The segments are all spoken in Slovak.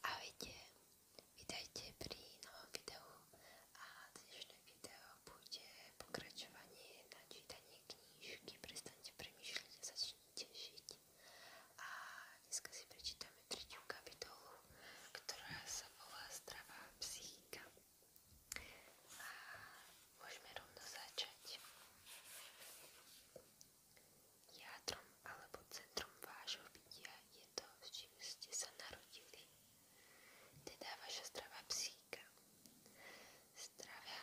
Ahojte, vítajte pri novom videu a dnešné video bude pokračovanie na čítanie knížky Prestaňte premýšľať a začnite žiť. A dneska si prečítame tretiu kapitolu, ktorá sa volá Zdravá psychika a môžeme rovno začať. Jádrom alebo centrom vášho bytia je to, s čím ste sa narodili, teda vaša zdravá psychika. Zdravá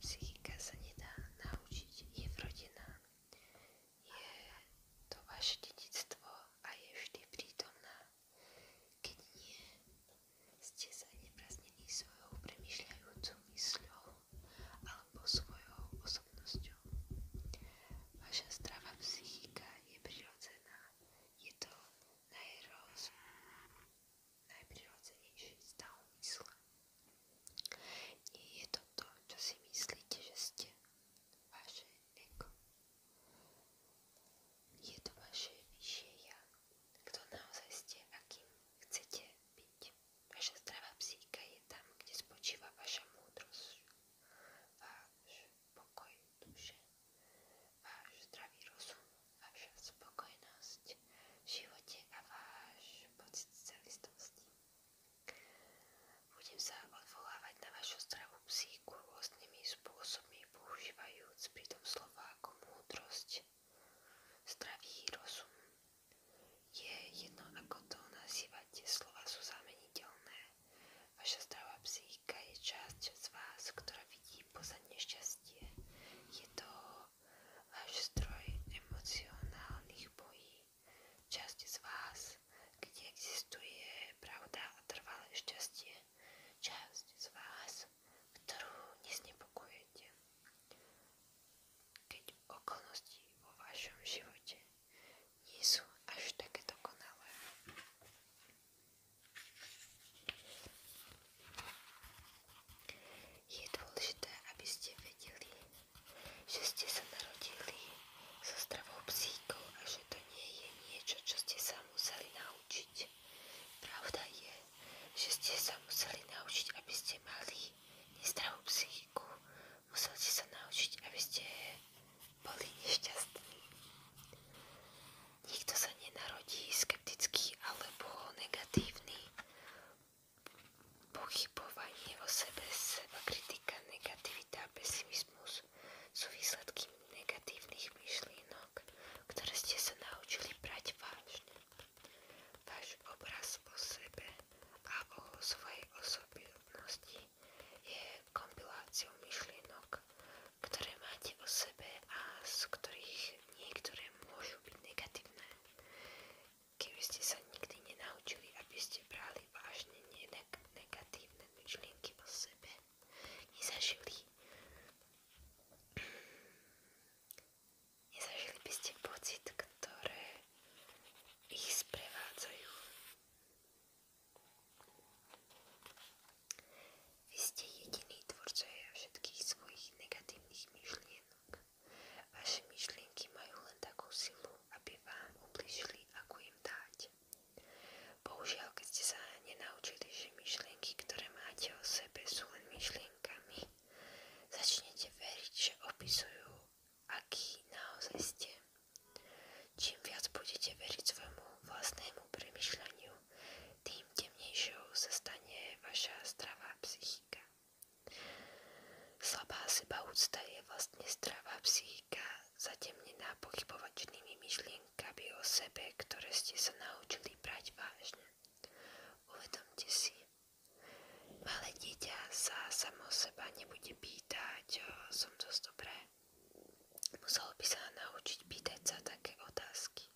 psychika sa nedá naučiť, je vrodená. Je to vaše dedictvo a je vždy prítomná. Keď nie, ste zanepráznení svojou premyšľajúcou mysľou alebo svojou osobnosťou. Vaša zdravá psychika je prirodzená. Je to najroz... najprirodzenejší stav mysle. Nie je to to, čo si myslíte, že ste. Vaše ego. Je to vaše vyššie ja kto naozaj ste a kým chcete byť. Vaša zdravá psíka je tam, kde spočíva vaša múdrosť, váš pokoj duše, váš zdravý rozum, vaša spokojnosť v živote a váš pocit Budem sa odvolávať na vašu zdravú psíku rôznymi spôsobmi používajúc pritom slova ako múdrosť, zdravý rozum. Je jedno, ako to nazývate, slova sú zameniteľné. Vaša zdravá psychika je časť z vás, ktorá vidí poza nešťastie. Je to váš zdroj emocionálnych bojí. Časť z vás, kde existuje pravda a trvalé šťastie. Časť z vás, ktorú neznepokojujete. Keď okolnosti vo vašom živote nie sú až také dokonalé. Je dôležité, aby ste vedeli, že ste sa narodili so zdravou psíkou a že to nie je niečo, čo ste sa museli naučiť. Pravda je, že ste sa museli naučiť, aby ste mali nezdravú psychiku. Museli ste sa naučiť, aby ste boli nešťastní. Nikto sa nenarodí skeptický alebo negatívny. Pochybovanie o sebe, seba kritika, negativita, pesimizmus sú výsledky negatívnych tých myšlienok, ktoré ste sa naučili brať vážne. Váš obraz o sebe a o svojej osobnosti je kompiláciou myšlienok, ktoré máte o sebe a z ktorých niektoré môžu byť negatívne. Keby ste sa nikdy nenaučili, aby ste brali vážne ne negatívne myšlienky o sebe, nezažili Nezažili by pocit, ktoré ich sprevádzajú. Vy ste jediný tvorcovia všetkých svojich negatívnych myšlienok. Vaše myšlienky majú len takú aby vám ublížili, ako im dáť. Bohužiaľ, keď ste sa nenaučili, že myšlienky, ktoré máte o sebe, sú len myšlienkami. Začnete veriť, že opisujú, aký naozaj ste. Čím viac budete veriť svojmu vlastnému premyšľaniu, tým temnejšou sa stane vaša zdravá psychika. Slabá seba úcta je vlastne zdravá psychika zatemnená pochybovačnými myšlienkami o sebe, ktoré ste sa naučili brať vážne. Uvedomte si, malé dieťa sa samo seba nebude pýtať, som dosť dobré. Muselo by sa naučiť pýtať sa také otázky.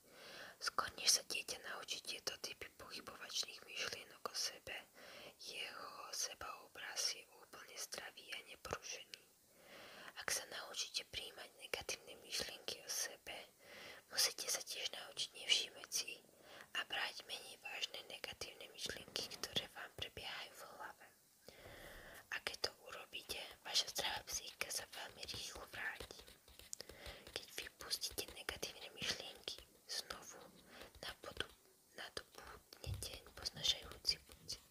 Skôr než sa dieťa naučí tieto typy pochybovačných myšlienok o sebe, jeho seba obraz je úplne zdravý a neporušený. Ak sa naučíte príjmať negatívne myšlienky o sebe, Musíte sa tiež naučiť nevšímať si a brať menej vážne negatívne myšlienky, ktoré vám prebiehajú v hlave. A keď to urobíte, vaša zdravá psychika sa veľmi rýchlo vráti. Keď vypustíte negatívne myšlienky, znovu na nadobudnete poznašajúci pocit.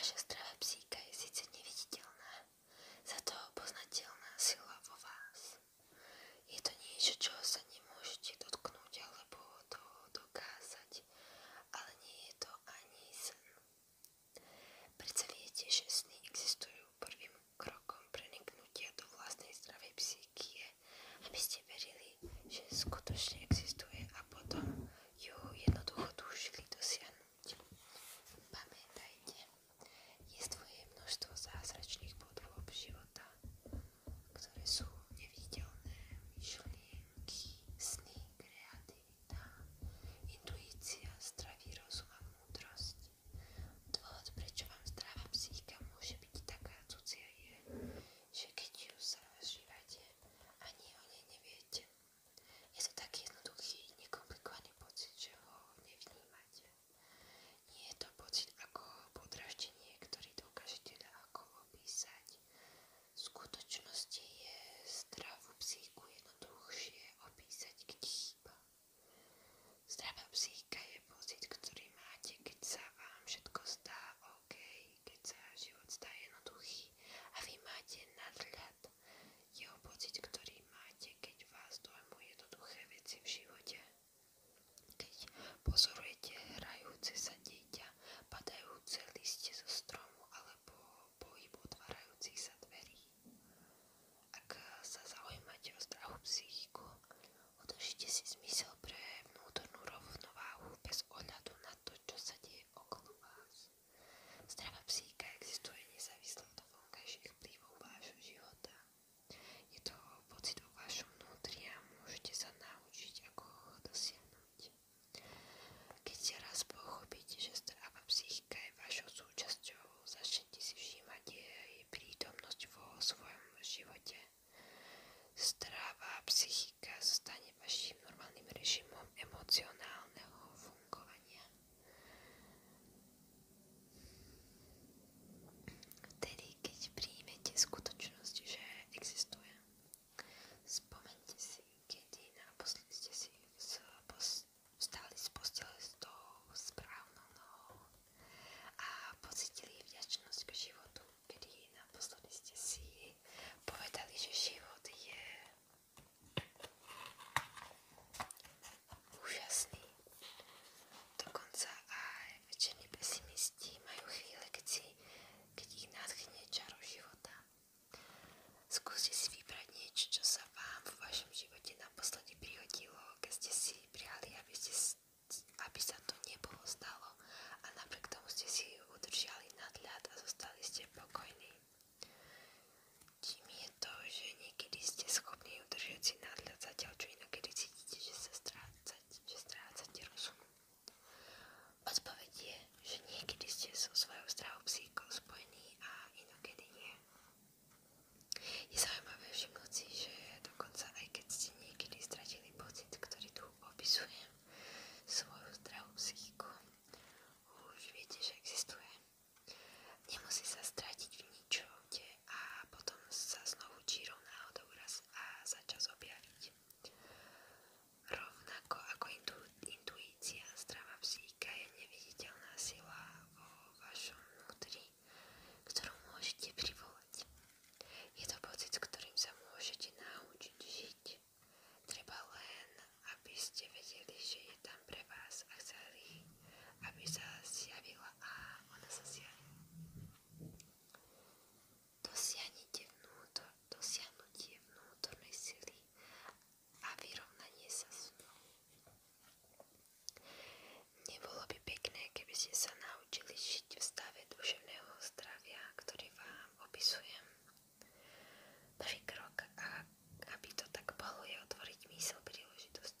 Vaša zdravá psychika je síce neviditeľná, za to poznateľná sila vo vás. Je to niečo, čo sa nemôžete dotknúť alebo toho dokázať, ale nie je to ani sen. Predsa viete, že sny existujú prvým krokom preniknutia do vlastnej zdravej psychie, aby ste verili, že skutočne existuje a potom ju jednoducho túžili dosiahnuť. Pamätajte, je tvoje množstvo zázračných podôb života, ktoré sú neviditeľné, myšlienky, sny, kreativita, intuícia, zdravý rozum a múdrosť. Dôvod, prečo vám zdravá psychika môže byť taká cudzia je, že keď ju zažívate, ani o nej neviete. Je to taký jednoduchý, nekomplikovaný pocit, že ho nevnímate. Nie je to pocit ako podraždenie, ktorý dokážete teda ako opísať. V skutočnosti je zdravú psíku jednoduchšie opísať, kde chýba. Zdravá psíka je pocit, ktorý máte, keď sa vám všetko zdá OK, keď sa život zdá jednoduchý a vy máte nadhľad jeho pocit, ktorý máte, keď vás dojmu jednoduché veci v živote. Keď pozorujete hrajúce sa dieťa, padajúce liste zo stromu alebo pohyb otvárajúcich sa dverí. Ak sa zaujímate o zdravú psychiku, udržite si zmysel pre vnútornú rovnováhu bez ohľadu na to, čo sa deje okolo vás. Zdravá psychika existuje nezávisle od vonkajších vplyvov vášho života. Je to pocit vo vnútri a môžete sa naučiť, ako ho dosiahnuť. Keď si raz pochopíte, že zdravá psychika je vašou súčasťou, začnete si všímať prítomnosť vo svojom živote. Zdravá psychika zostane vašim normálnym režimom emocionálneho fungovania. Vtedy, keď príjmete skutočnosť, že existuje, spomente si, kedy naposledy ste si vstali z postele s tou správnou nohou a pocitili vďačnosť k životu, kedy naposledy ste si povedali, že život je úžasný. Dokonca aj večerní pesimisti majú chvíle, keď, si, keď ich nadchne čaro života. Skúste si vybrať niečo, čo sa vám v vašom živote naposledy prihodilo, keď ste si prijali, aby, ste, aby sa to nebolo stalo a napriek tomu ste si udržiali nadhľad a zostali ste pokojní. Tým je to, že niekedy ste schopní udržať si nadhľad zatiaľ, čo inokedy cítite, že sa strácate, že strácate rozum. Odpoveď je, že niekedy ste so svojou zdravou psíkou spojení a inokedy nie. Je zaujímavé všimnúť si, že dokonca aj keď ste niekedy stratili pocit, ktorý tu opisujem, svoju zdravú psychiku, už viete, že existuje. Nemusí sa stratiť v ničote a potom sa znovu čírou náhodou a za čas Rovnako ako intuícia zdravá psíka je neviditeľná sila vo vašom vnútri, ktorú môžete privolať. Je to pocit, ktorým sa môžete naučiť Treba len, aby ste vedeli, že je tam pre vás a chceli, aby sa zjavila a ona sa zjaví. Dosiahnite vnútor, dosiahnutie vnútornej sily a vyrovnanie sa s ňou. Nebolo by pekné, keby ste sa naučili žiť v stave duševného zdravia, ktorý vám opisujem. Prvý krok, aby to tak bolo, je otvoriť myseľ príležitosti.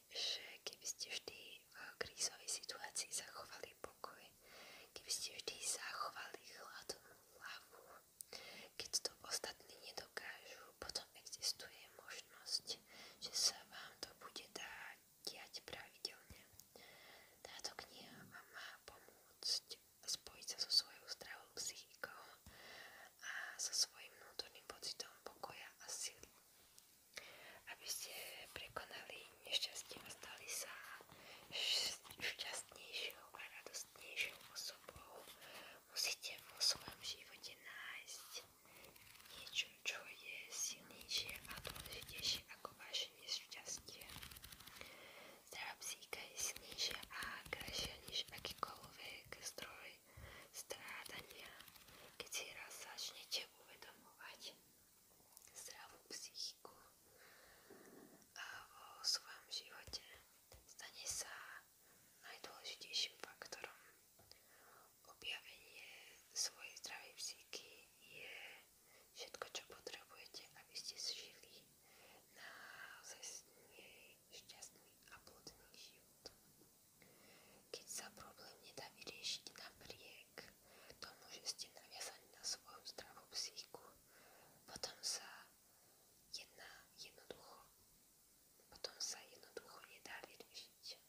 že keby ste vždy v krízovej situácii zachovali pokoj, keby ste vždy zachovali chladnú hlavu, keď to ostatní nedokážu, potom existuje možnosť, že sa vám to bude dať diať pravidelne. Táto kniha vám má pomôcť spojiť sa so svojou zdravou psychikou a so svojím vnútorným pocitom pokoja a sily aby ste prekonali nešťastie a stali sa šťastnejšou a radostnejšou osobou, musíte vo svojom živote nájsť niečo, čo je silnejšie a dôležitejšie ako vaše nešťastie. Zdravá psíka je silnejšia a krajšia než akýkoľvek zdroj strádania, keď si raz začnete uvedomovať zdravú psychiku a vo svojom živote stane sa najdôležitejším faktorom. Objavenie svojej zdravej psychiky je všetko, čo potrebujete, aby ste žili naozaj šťastný a plodný život. Keď sa problém nedá vyriešiť napriek tomu, že ste naviazaní na svoju zdravú psychiku, potom sa jedná jednoducho, potom sa jednoducho nedá vyriešiť.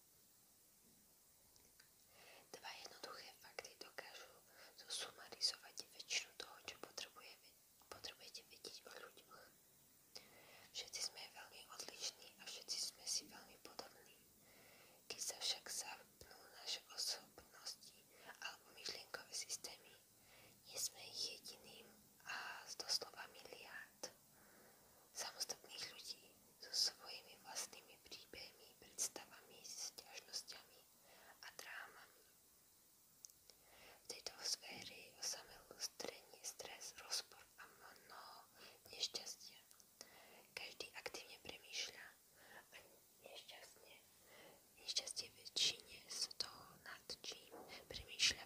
Dva jednoduché fakty dokážu zosumarizovať väčšinu toho, čo potrebujete vedieť o ľuďoch. Všetci sme veľmi odlišní a všetci sme si veľmi podobní. Tí sa však zapnú naše osobnosti alebo myšlienkové systémy. Nie sme ich jediným a doslova miliárd samostatných ľudí so svojimi vlastnými príbehmi, predstavami, sťažnosťami a drámami. V tejto sfére je osamelú stres, rozpor a mnoho nešťastia. Každý aktívne premýšľa a nešťastne, nešťastie väčšine z toho, nad čím premýšľa,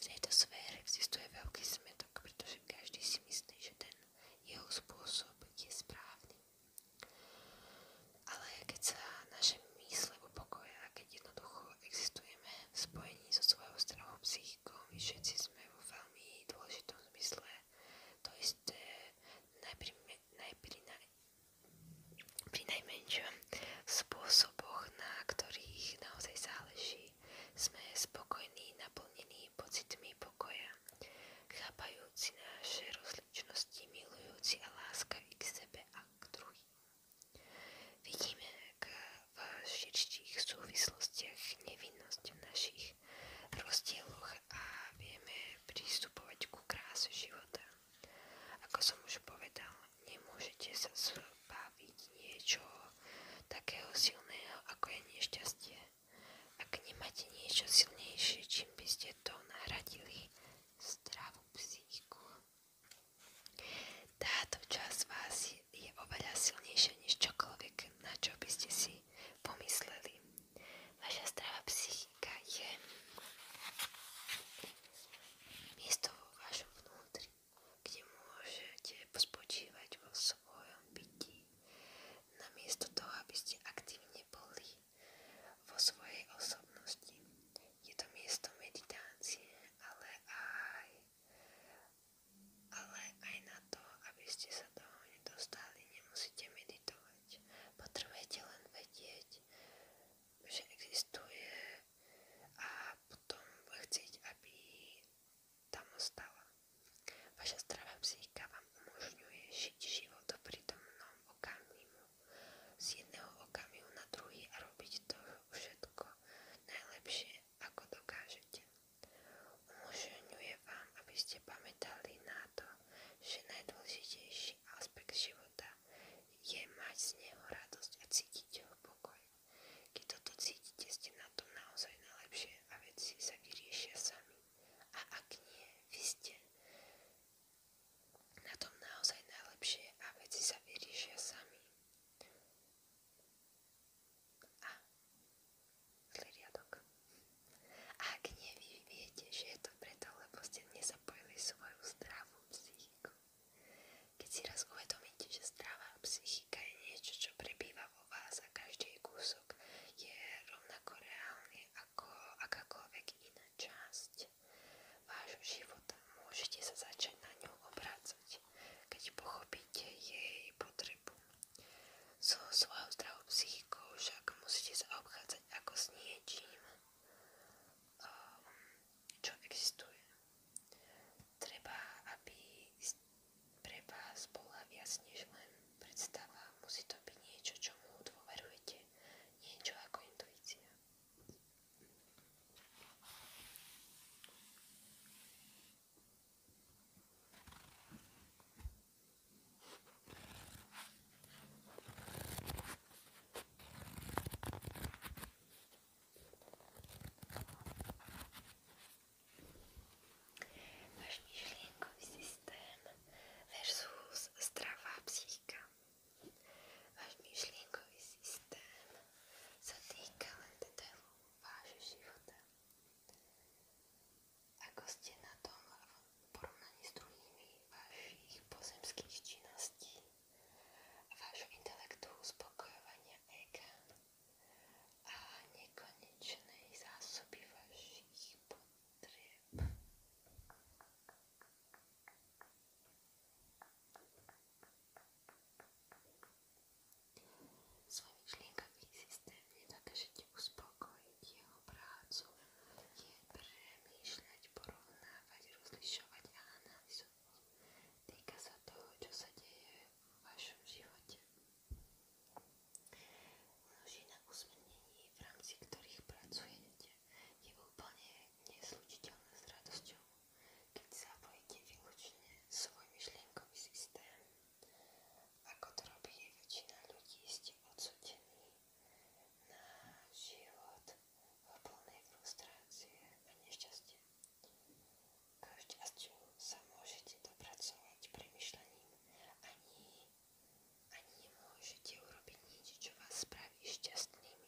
V tejto sfére existuje veľký smetok, pretože každý si myslí, že ten jeho spôsob je správny. Ale keď sa naše mysle upokoja a keď jednoducho existujeme v spojení so svojou zdravou psychikou, my všetci sme vo veľmi dôležitom zmysle to isté pri najmenšom spôsoboch, na ktorých naozaj záleží, sme spokojní, naplnení pocitmi pokoja, chápajúci naše rozličnosti, milujúci a láskaví k sebe a k druhým. Vidíme, k v širších súvislostiach nevinnosť v našich rozdieloch a vieme prístupovať ku kráse života. Ako som už povedal, nemôžete sa zbaviť niečo takého silného, ako je nešťastie. Ak nemáte niečo silnejšie, čím by ste to nahradili, zdravú psychiku. Táto časť vás je je oveľa silnejšia než čokoľvek, na čo by ste si pomysleli. Vaša zdravá psychika je miesto vo vašom vnútri, kde môžete spočívať vo svojom byti, namiesto toho, aby ste aktívne boli vo svojej osobnosti. Je to miesto meditácie, ale aj ale aj na to, aby ste sa do nedostali, nemusíte meditovať. Potrebujete len vedieť, že existuje a potom chcieť, aby tam ostala. Vaša zdravá psychika vám umožňuje žiť život v prítomnom okamihu. Z jedného okamihu na druhý a robiť to všetko najlepšie, ako dokážete. Umožňuje vám, aby ste pamätali na to, že najdôležitejší aspekt života je mať z neho radosť a cítiť ho pokoj. Keď toto cítite, ste na tom naozaj najlepšie a veci sa vyriešia sami. A ak nie, vy ste na tom naozaj najlepšie a veci sa vyriešia sami. A zlý riadok. A ak nie, vy viete, že je to preto, lebo ste nezapojili svoju zdravú psychiku. Keď si raz uvedomíte, že zdravá psychika je niečo, čo prebýva vo vás a každý kúsok je rovnako reálny ako akákoľvek iná časť vášho života, môžete sa začať na ňu obrácať, keď pochopíte jej potrebu. So svojou zdravou psychikou však musíte sa obchádzať ako s niečím, um, čo existuje. Treba, aby pre vás bola viac než len predstava. Musí to byť niečo, čomu dôverujete. Niečo ako intuícia. Máš myšlienkový systém versus zdravá psychika. Váš myšlienkový systém sa týka len detailov vášho života ako ste na tom v porovnaní s druhými vašich pozemských činností, vášho intelektu, uspokojovania ega a nekonečnej zásoby vašich potrieb. Svoj myšlienkami systémne dokážete uspokojiť jeho prácu, je premýšľať, porovnávať, rozlišovať a analyzovať. Týka sa toho, čo sa deje v vašom živote. Množina usmernení, v rámci ktorých pracujete, je úplne neslučiteľná s radosťou, keď zapojíte výlučne svoj myšlienkový systém. Ako to robí väčšina ľudí, ste odsudení na život v plnej frustrácie a nešťastie. K šťastiu sa môžete dopracovať premyšľaním ani, ani nemôžete urobiť nič, čo vás spraví šťastným.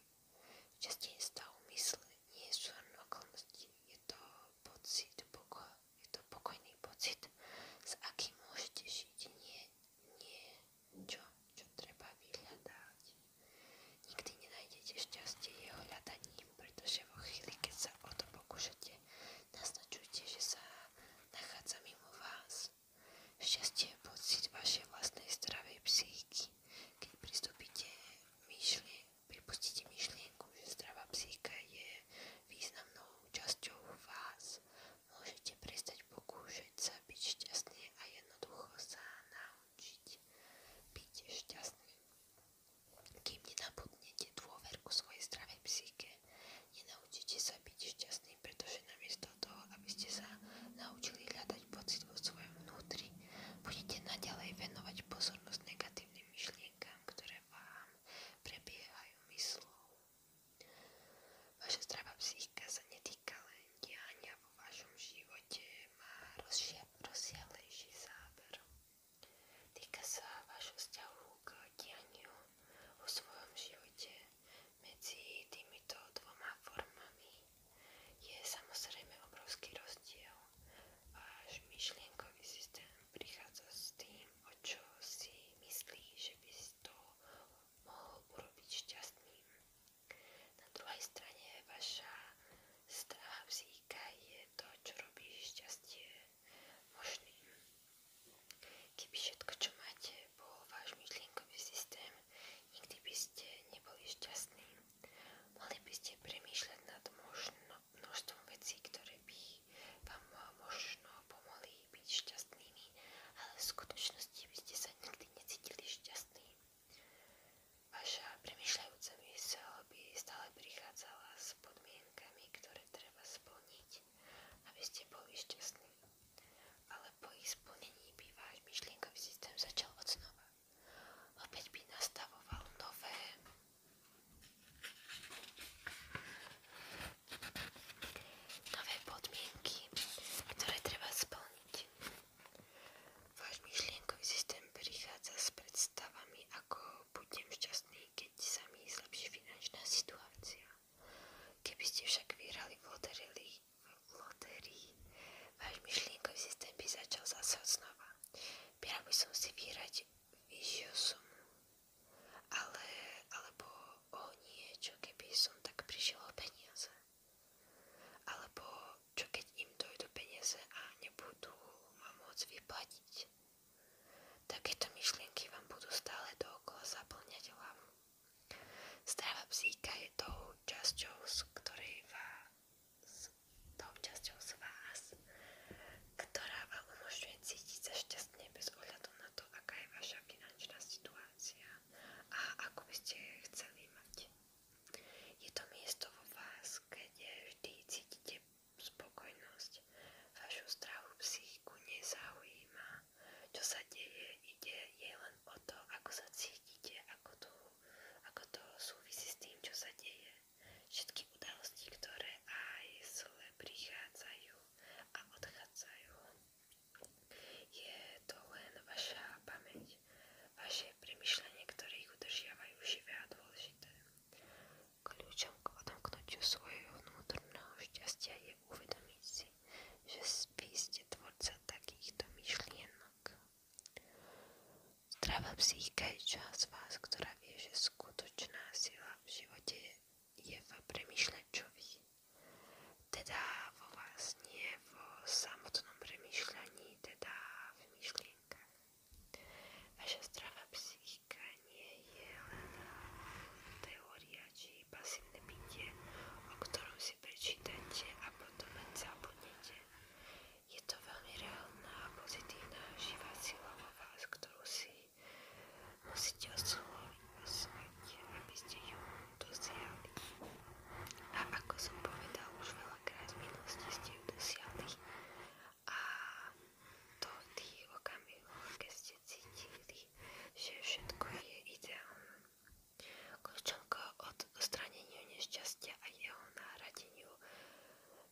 Šťastie je stav mysle, nie sú okolnosti, je to pocit pokoja je to pokojný pocit, s akým môžete žiť. Nie, nie, čo, čo treba vyhľadať. Nikdy nenájdete šťastie jeho hľadaním, pretože vo chvíli, keď sa o to pokúšate, naznačujte, že sa nachádza mimo vás. Šťastie je pocit vašej vlastnej zdravej psychiky. Keď pristúpite myšlie, pripustíte myšlienku, že zdravá psychika je Významnou časťou vás môžete prestať pokúšať sa byť šťastný a jednoducho sa naučiť byť šťastný. Kým nenabudnete dôverku svojej zdravej psyche, nenaučíte sa byť šťastný, pretože namiesto toho, aby ste sa naučili hľadať pocit vo vnútri, budete naďalej venovať pozornosť negatívnym myšlienkám, ktoré vám prebiehajú myslou. Vaša zdravá psychika sa netýka len diania vo vašom živote, má rozsiahlejší záber. Týka sa vášho vzťahu k dianiu vo svojom živote. Medzi týmito dvoma formami je samozrejme obrovský rozdiel. Váš myšlienkový systém prichádza s tým, neviem, o čo si myslí, že by si to mohol urobiť šťastným. Na druhej strane vaša strava psíka je to, čo robí šťastie možným. Keby všetko, čo máte, bol váš myšlienkový systém, nikdy by ste neboli šťastní. Mali by ste premýšľať nad možno, množstvom vecí, ktoré by vám možno pomohli ľudí byť šťastnými, ale v skutočnosti by ste sa nikdy necítili šťastní. Vaša premyšľajúca mysel by stále prichádzala s podmienkami, ktoré treba splniť, aby ste boli šťastní. Ale po ich splnení by váš myšlienkový systém začal od znova. Opäť by nastavoval nové nové podmienky, ktoré treba splniť. Váš myšlienkový systém prichádza s predstavami, ako budem šťastný, keď sa mi zlepší finančná situácia. Keby ste však vyhrali v lotérii, v lotérii váš myšlienkový systém by začal zase od znova. Pýral by som si vyhrať vyššiu sumu ale, alebo o niečo, keby som tak prišiel o peniaze. Alebo čo keď im dojdu peniaze a nebudú ma môcť vyplatiť. Takéto myšlienky vám budú stále dookola zaplňať hlavu. Strava psíka je tou časťou, z ktorej vás, tou časťou z vás, ktorá vám umožňuje cítiť sa šťastne bez ohľadu na to, aká je vaša finančná situácia a ako by ste chceli mať. Je to miesto vo vás, kde vždy cítite spokojnosť. Vašu zdravú psychiku nezaujíma, čo sa deje, ide len o to, ako sa cítite, ako to, súvisí s tým, čo sa deje. Všetky udalosti, ktoré aj zle prichádzajú, a odchádzajú. Je to len vaša pamäť, vaše premyšľanie, ktoré ich živé a dôležité. Kľúčom k odomknutiu svojho vnútorného šťastia je uvedomiť si, že vy ste tvorca takýchto myšlienok. Zdravá psychika je časť vás, ktorá vie, že skutočná v živote je v premyšľačovi. Teda vo vás, nie vo samotnom premyšľaní, teda v myšlienkach. Vaša zdravá psychika nie je len teória či pasívne bytie, o ktorom si prečítate a potom len zabudnete. Je to veľmi reálna a pozitívna živá sila vo vás, ktorú si Musíte osloviť, osloviť, aby ste ju dosiahli. A ako som povedal už veľakrát v minulosti, ste ju A to v tých ste cítili, že všetko je ideálne. Kľúčovko od odstraneniu nešťastia a jeho náhradeniu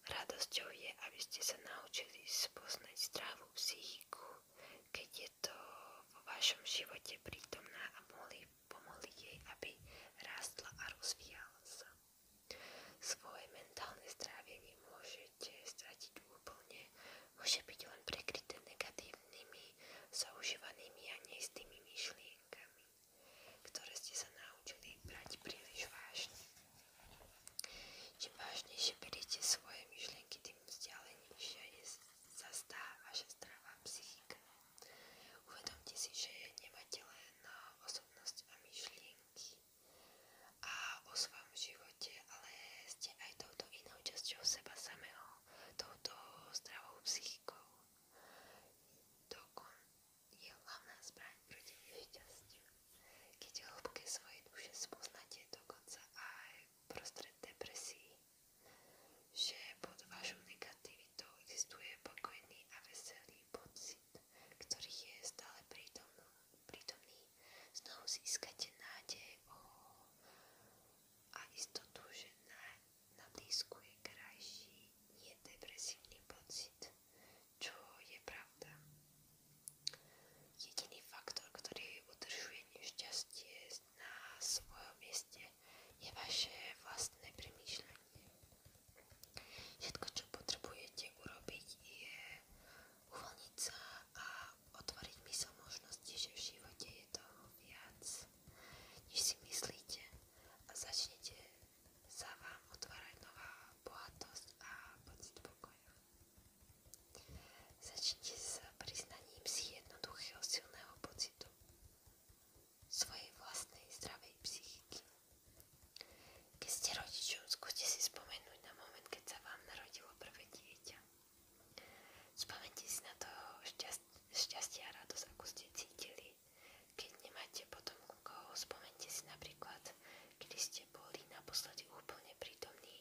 radosťou je, aby ste sa naučili spoznať zdravú psychiku keď je to vo vašom živote prítomná a mohli, pomohli jej, aby rástla a rozvíjala sa. Svoje mentálne strávenie môžete stratiť úplne, môže byť len prekryté negatívnymi, zaužívanými a neistými myšlienkami, ktoré ste sa naučili brať príliš vážne. Čím vážnejšie beriete svoje myšlienky, tým vzdialenejšia je sa zdá vaša zdravá psychika. Uvedomte si, že nemáte len osobnosť a myšlienky a o svojom živote, ale ste aj touto inou časťou seba samého, touto zdravou psychikou. Dokon je hlavná zbraň proti nešťastiu. Keď hlboké svoje duše spoznáte dokonca aj uprostred depresí, že pod vašou negativitou existuje pokojný a veselý pocit, ktorý je stále prítomný. Znovu získate nádej o, a istotu, že na, na blízku je krajší, nie depresívny pocit, čo je pravda. Jediný faktor, ktorý udržuje nešťastie na svojom mieste, je vaše vlastné premýšľanie. Všetko, čo potrebujete urobiť, je uvoľniť sa a otvoriť mysl možnosti, že v živote je toho viac, než si myslíte a začnete sa vám otvárať nová bohatosť a pocit pokoja. Začnite sa priznaním si jednoduchého silného pocitu svojej vlastnej zdravej psychiky. Keď ste rodičom, si spomenúť na moment, keď sa vám narodilo prvé dieťa. Spomente si na to šťastie a radosť, ako ste cítili. Keď nemáte potom koho, spomente si napríklad, kedy ste boli naposledy úplne prítomní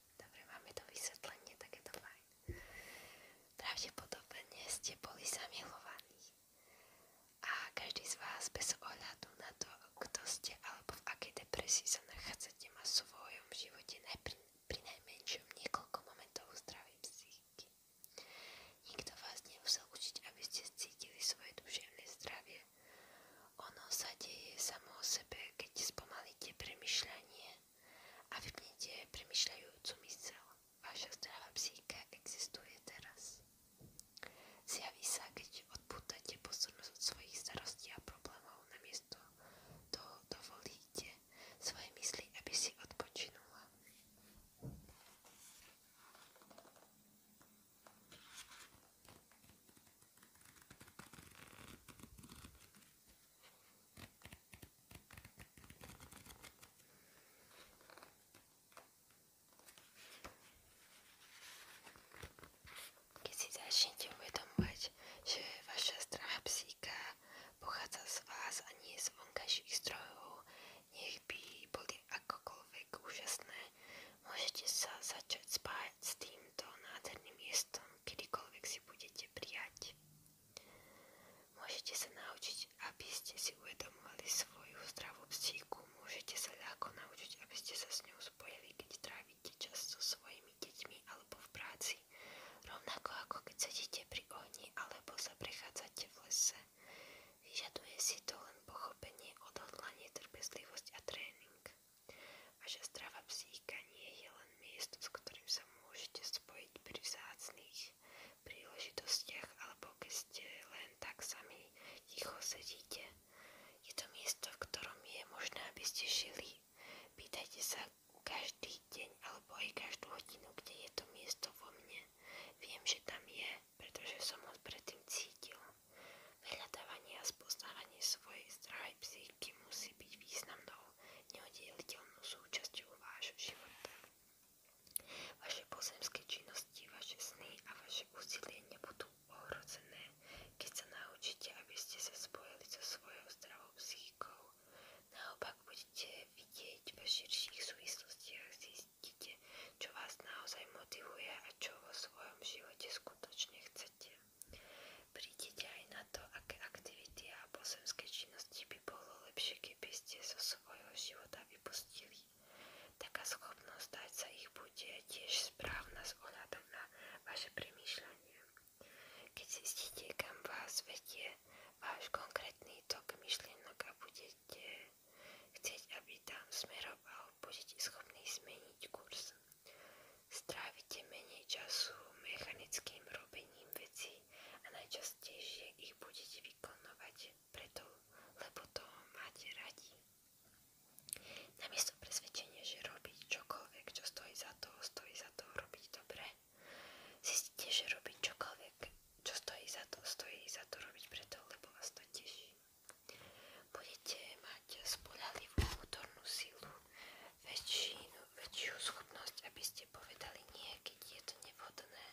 Dobre, máme to vysvetlenie, tak je to fajn. Pravdepodobne ste boli zamilovaní a každý z vás bez ohľadu na to, kto ste alebo v akej depresii sa nachádzate, má v svojom živote pri najmenšom niekoľko momentov zdravej psychiky. Nikto vás nemusel učiť, aby ste cítili svoje duševné zdravie ono sa deje samo o sebe, keď spomalíte premyšľanie a vypnete premyšľajúcu mysel. Vaša zdravá psychika existuje teraz. Zjaví sa, keď odpútate pozornosť od svojich starostí a problémov namiesto toho dovolíte svoje mysli, aby si odpočinula. Keď si začnete uvedomovať, že vaša strach psíka z vás a nie z vonkajších strojov, nech by boli akokoľvek úžasné, môžete sa začať spájať s týmto nádherným miestom kedykoľvek si budete prijať. Môžete sa naučiť, aby ste si uvedomovali svoju zdravú psíku. Môžete sa ľahko naučiť, aby ste sa s ňou spojili, keď trávite čas so svojimi deťmi alebo v práci. Rovnako ako keď sedíte pri ohni alebo sa prechádzate v lese. Vyžaduje si to len pochopenie, odhodlanie, trpezlivosť a tréning a že strava psíka nie je len miesto, s ktorým sa môžete spojiť pri vzácných príležitostiach alebo keď ste len tak sami ticho sedíte. Je to miesto, v ktorom je možné, aby ste žili. Pýtajte sa každý deň alebo aj každú hodinu, kde je to miesto vo mne. Viem, že tam je, pretože som ho predtým cítil. Vyhľadávanie a spoznávanie svojej zdravej psychiky musí byť významnou, neoddeliteľnou súčasťou vášho života. Vaše pozemské činnosti, vaše sny a vaše úsilie nebudú ohrozené, keď sa naučíte, aby ste sa spojili so svojou zdravou psychikou. Naopak budete vidieť ve širších súvislostiach, zistíte, čo vás naozaj motivuje a čo vo svojom živote skutočne chcete. Prídete aj na to, aké aktivity a pozemské činnosti by bolo lepšie, keby ste zo svojho života vypustili. Taká schopnosť dať sa ich bude tiež správna s na vaše premýšľanie. Keď zistíte, kam vás vedie váš konkrétny tok myšlienok a budete chcieť, aby tam smeroval, budete schopní zmeniť kurz. Strávite menej času mechanickým robením vecí a najčastejšie ich budete vykonávať preto, lebo to máte radi. Namiesto presvedčenia, že robiť čokoľvek, čo stojí za to, stojí za to robiť dobre, zistíte, že robiť čokoľvek, čo stojí za to, stojí za to robiť preto, lebo vás to teší. Budete mať spoľahlivú vnútornú silu, väčšinu, väčšiu schopnosť, aby ste povedali nie, je to nevhodné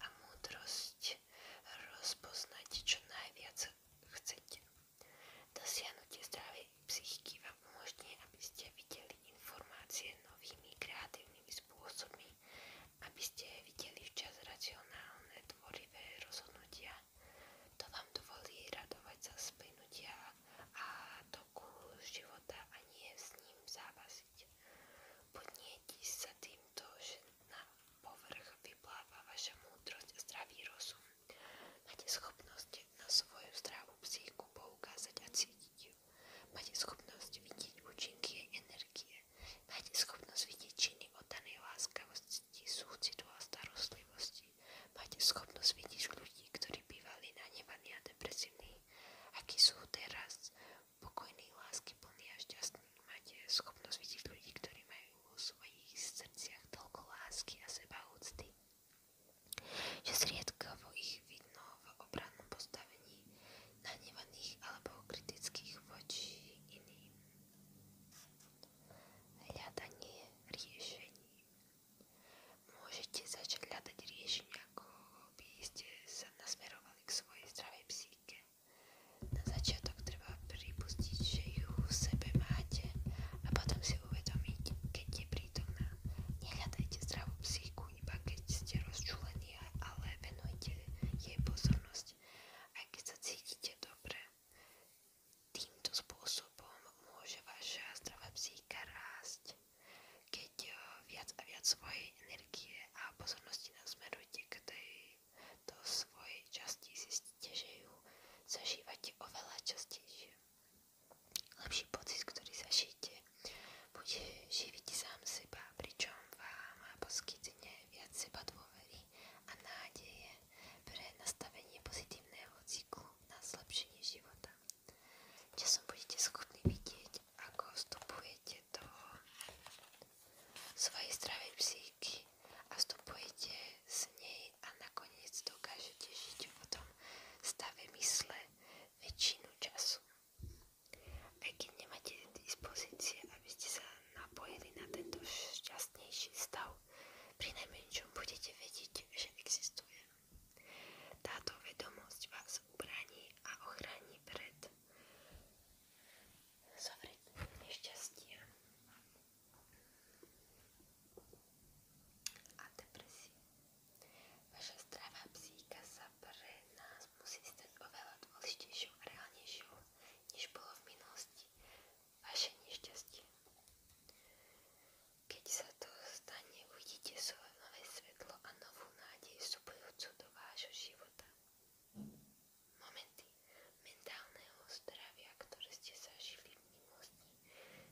a múdrosť rozpoznať čo najviac chcete. Dosiahnutie zdravej psychiky vám umožní, aby ste videli informácie novými kreatívnymi spôsobmi, aby ste videli včas racionálne, tvorivé rozhodnutia to vám dovolí radovať sa splynutia a toku života a nie s ním závasiť. Podnieti sa týmto, že na povrch vypláva vaša múdrosť a zdravý rozum. Máte schopnosť na svoju zdravú psychiku poukázať a cítiť ju. Máte schopnosť vidieť účinky jej energie. Máte schopnosť vidieť činy oddanej láskavosti, súcitu a starostlivosti. Máte schopnosť vidieť ľudí, ktorí bývali nahnevaní a depresívni, akí sú teraz pokojní, lásky plní a šťastní. Máte schopnosť vidieť ľudí, ktorí majú vo svojich srdciach toľko lásky a úcty. že zriedkavo ich vidno v obrannom postavení nahnevaných alebo kritických voči iným. Hľadanie riešení Môžete začať hľadať riešenia, ako by ste sa nasmerovali k svojej zdravej psychike. Na začiatok treba pripustiť, že ju v sebe máte a potom si uvedomiť, keď je prítomná. Nehľadajte zdravú psychiku iba keď ste rozčúlení, ale venujte jej pozornosť, aj keď sa cítite dobre. Týmto spôsobom môže vaša zdravá psíka rásť. Keď eh, viac a viac svojej energie a pozornosti nasmerujete k tejto svojej časti, zistíte, že ju zažívate oveľa častejšie. Lepší pocit, ktorý zažijete, bude živiť sám seba, pričom vám poskytne viac seba dôvery a nádeje pre nastavenie pozitívneho cyklu na zlepšenie života kde som budete schopní vidieť, ako vstupujete do svojej zdravej psychiky a vstupujete z nej a nakoniec dokážete žiť o tom stave mysle väčšinu času. Aj keď nemáte dispozície, aby ste sa napojili na tento šťastnejší stav, pri najmenšom budete vedieť, že existuje. Táto vedomosť vás ubraní a ochrání pred zovretím nešťastia a depresie. Vaša zdravá psíka sa pre nás musí stať oveľa dôležitejšou a reálnejšou, než bolo v minulosti. Vaše nešťastie. Keď sa to stane, uvidíte svoje nové svetlo a novú nádej vstupujúcu do vášho života. Momenty mentálneho zdravia, ktoré ste zažili v minulosti,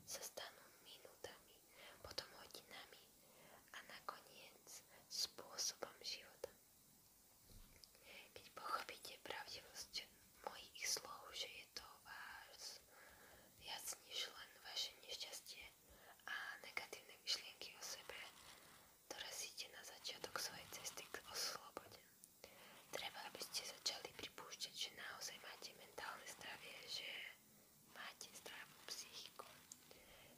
sa stanú minútami, potom hodinami a nakoniec spôsobom života. Keď pochopíte pravdivosť mojich slov, že je to váš viac než len vaše nešťastie a negatívne myšlienky o sebe, dorazíte na začiatok svojej cesty k slobode. Treba, aby ste začali pripúšťať, že naozaj máte mentálne zdravie, že máte zdravú psychiku.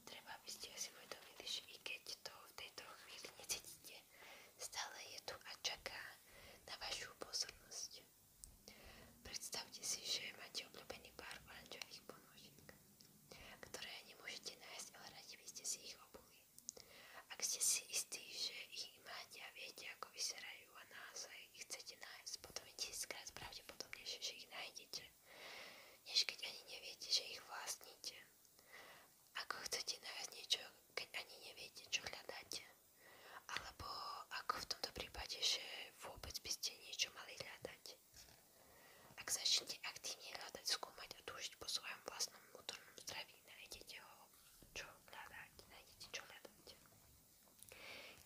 Treba, aby ste si uvedomili, že i keď to v tejto chvíli necítite, stále je tu a čaká na vašu pozornosť zmeniť. Predstavte si, že máte obľúbený pár oranžových ponožiek, ktoré nemôžete nájsť, ale radi by ste si ich obuli. Ak ste si istí, že ich máte a viete, ako vyzerajú a naozaj ich chcete nájsť, potom je tisíckrát pravdepodobnejšie, že ich nájdete, než keď ani neviete, že ich vlastníte. Ako chcete nájsť niečo, keď ani neviete, čo hľadáte? Alebo ako v tomto prípade, že vôbec by ste niečo mali hľadať. Ak začnete aktívne hľadať, skúmať a túžiť po svojom vlastnom vnútornom zdraví, nájdete ho, čo hľadať, nájdete čo hľadať.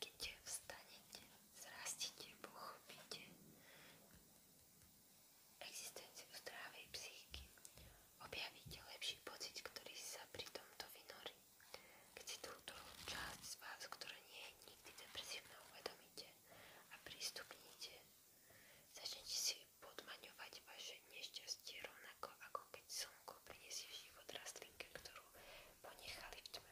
Keď vstanete, zrastite, pochopíte existenciu zdravej psychiky, objavíte lepší pocit, ktorý sa pri tomto vynorí. Keď si túto časť z vás, ktorá nie je nikdy depresívna, uvedomíte a prístupníte, začnete si podmaňovať vaše nešťastie rovnako ako keď slnko priniesie život rastlinke, ktorú ponechali v tme.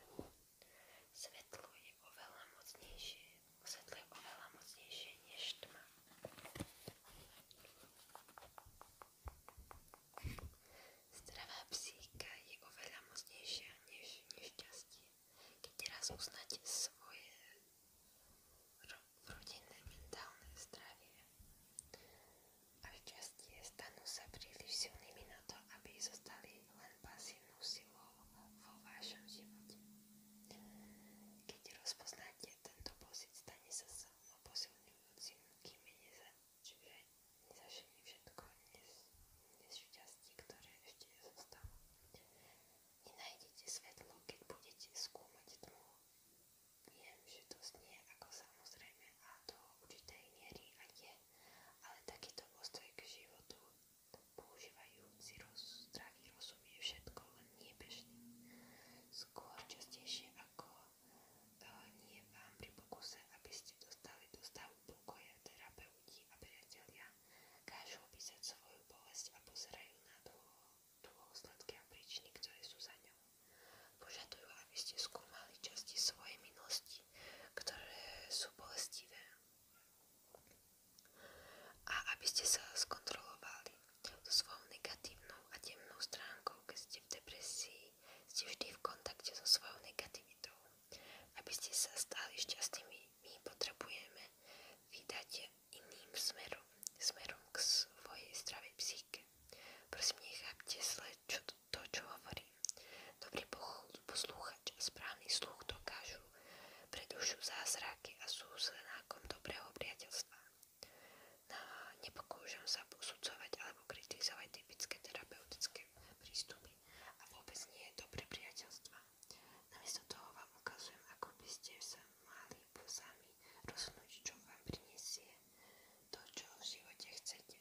Svetlo je oveľa mocnejšie, svetlo je oveľa mocnejšie než tma. Zdravá psíka je oveľa mocnejšia než nešťastie. Keď raz uznáte svoje rodinné mentálne zdravie a šťastie, stanú sa príliš silnými na to, aby zostali len pasívnou silou vo vašom živote. Keď rozpoznáte tento pocit, stane sa silno posilňujúcim, kým je drzwi nezasiahli všetko nešťastie, ktoré ešte zostalo. Nenájdete svetlo, keď budete skúmať tmu. Viem, že to znie ako samozrejme a do určitej miery a je, ale takýto postoj k životu používajúci roz, zdravý rozum je všetko len niebežný. Skôr častejšie ako eh, nie vám pri pokuse, aby ste dostali do stavu duchovia, terapeuti a priatelia kážu opísať svoju bolesť a pozerajú na dôsledky a príčiny, ktoré sú za ňou. Požadujú, aby ste skúmali časti svojej minulosti, ktoré sú bolestivé a aby ste sa skontrolovali so svojou negatívnou a temnou stránkou, keď ste v depresii, ste vždy v kontakte so svojou negativitou. Aby ste sa stali šťastnými, my potrebujeme vydať iným smerom, smerom k svojej zdravej psychike. Prosím, nechápte zle čo, to, čo hovorím. Dobrý poslúchač a správny sluch dokážu predušu zázraky a sú znakom dobrého priateľstva. Na nepokúšam sa posudzovať alebo kritizovať typické terapeutické prístupy vzťahy a vôbec nie je dobré priateľstva. Namiesto toho vám ukazujem, ako by ste sa mali sami rozhodnúť, čo vám prinesie to, čo v živote chcete.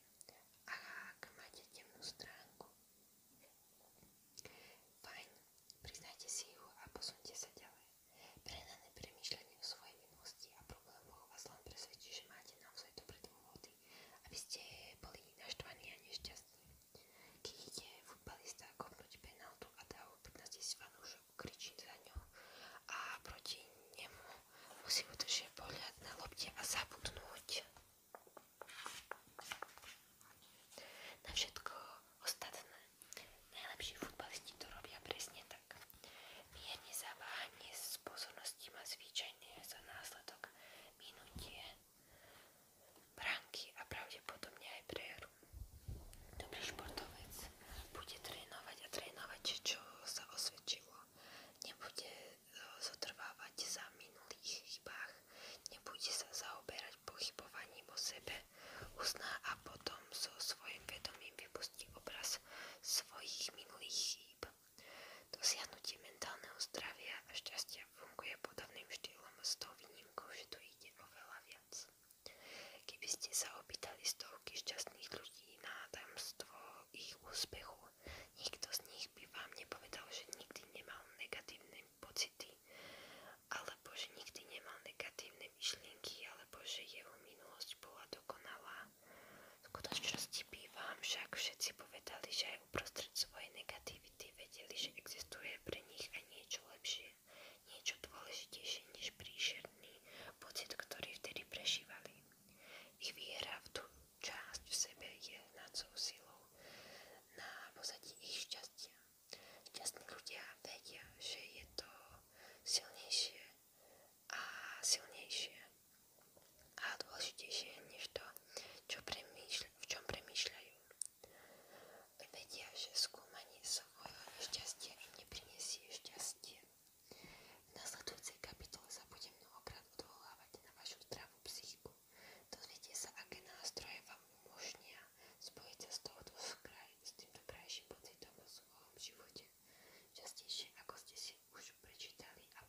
A ak máte temnú stránku, fajn, priznajte si ju a posunte sa ďalej. Prenané premýšľanie o svojej minulosti a problémoch vás len presvedčí, že máte naozaj dobré dôvody športy, aby ste boli naštvaní a nešťastní. Keď ide futbalista kopnúť penaltu a dá ho 15 tisíc fanúšok, kričí za ňou a proti nemu musí udržať pohľad na lopte a zabudnúť. Na všetko ostatné najlepší futbalisti to robia presne tak. Mierne zaváhanie s pozorností má zvyčajne za následok minutie branky a pravdepodobne aj prehru. Dobrý športovec bude trénovať a trénovať, čo sa osvedčilo. Nebude e, zotrvávať za minulých chybách, nebude sa zaoberať pochybovaním o sebe, uzná a potom so svojím vedomím vypustí obraz svojich minulých chýb. Dosiahnutie mentálneho zdravia a šťastia funguje podobným štýlom s tou výnimkou, že tu ide oveľa viac. Keby ste sa opýtali stovky šťastných ľudí na tajomstvo ich úspechu, nikto z nich by vám nepovedal, že nikdy nemal negatívne pocity, alebo že nikdy nemal negatívne myšlienky, alebo že jeho minulosť bola dokonalá, v skutočnosti bývam však všetci povedali, že aj uprostred svojej negativity vedeli, že existuje pre nich aj niečo lepšie, niečo dôležitejšie než príšerný pocit, ktorý vtedy prežívali. Ich viera v tú časť v sebe je hnacou silou na pozadí ich šťastia. Šťastní ľudia vedia, že je to silnejšie a silnejšie a dôležitejšie než to, čo v čom premýšľajú. Vedia, že skúmanie svojho nešťastia im neprinesie šťastie. V nasledujúcej kapitole sa budem mnohokrát odvolávať na vašu zdravú psychiku. Dozviete sa, aké nástroje vám umožnia spojiť sa s, touto skraj, s týmto krajším pocitom vo svojom živote. Častejšie, ako ste si už prečítali a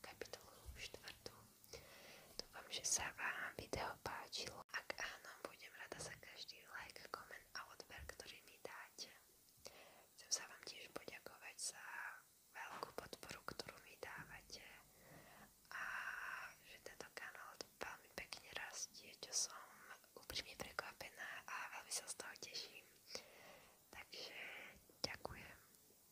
kapitolu 4. Dúfam, že sa vám video páčilo. Ak áno, budem rada za každý like, koment a odber, ktorý mi dáte. Chcem sa vám tiež poďakovať za veľkú podporu, ktorú mi dávate a že tento kanál veľmi pekne rastie, čo som úprimne prekvapená a veľmi sa z toho teším. Takže ďakujem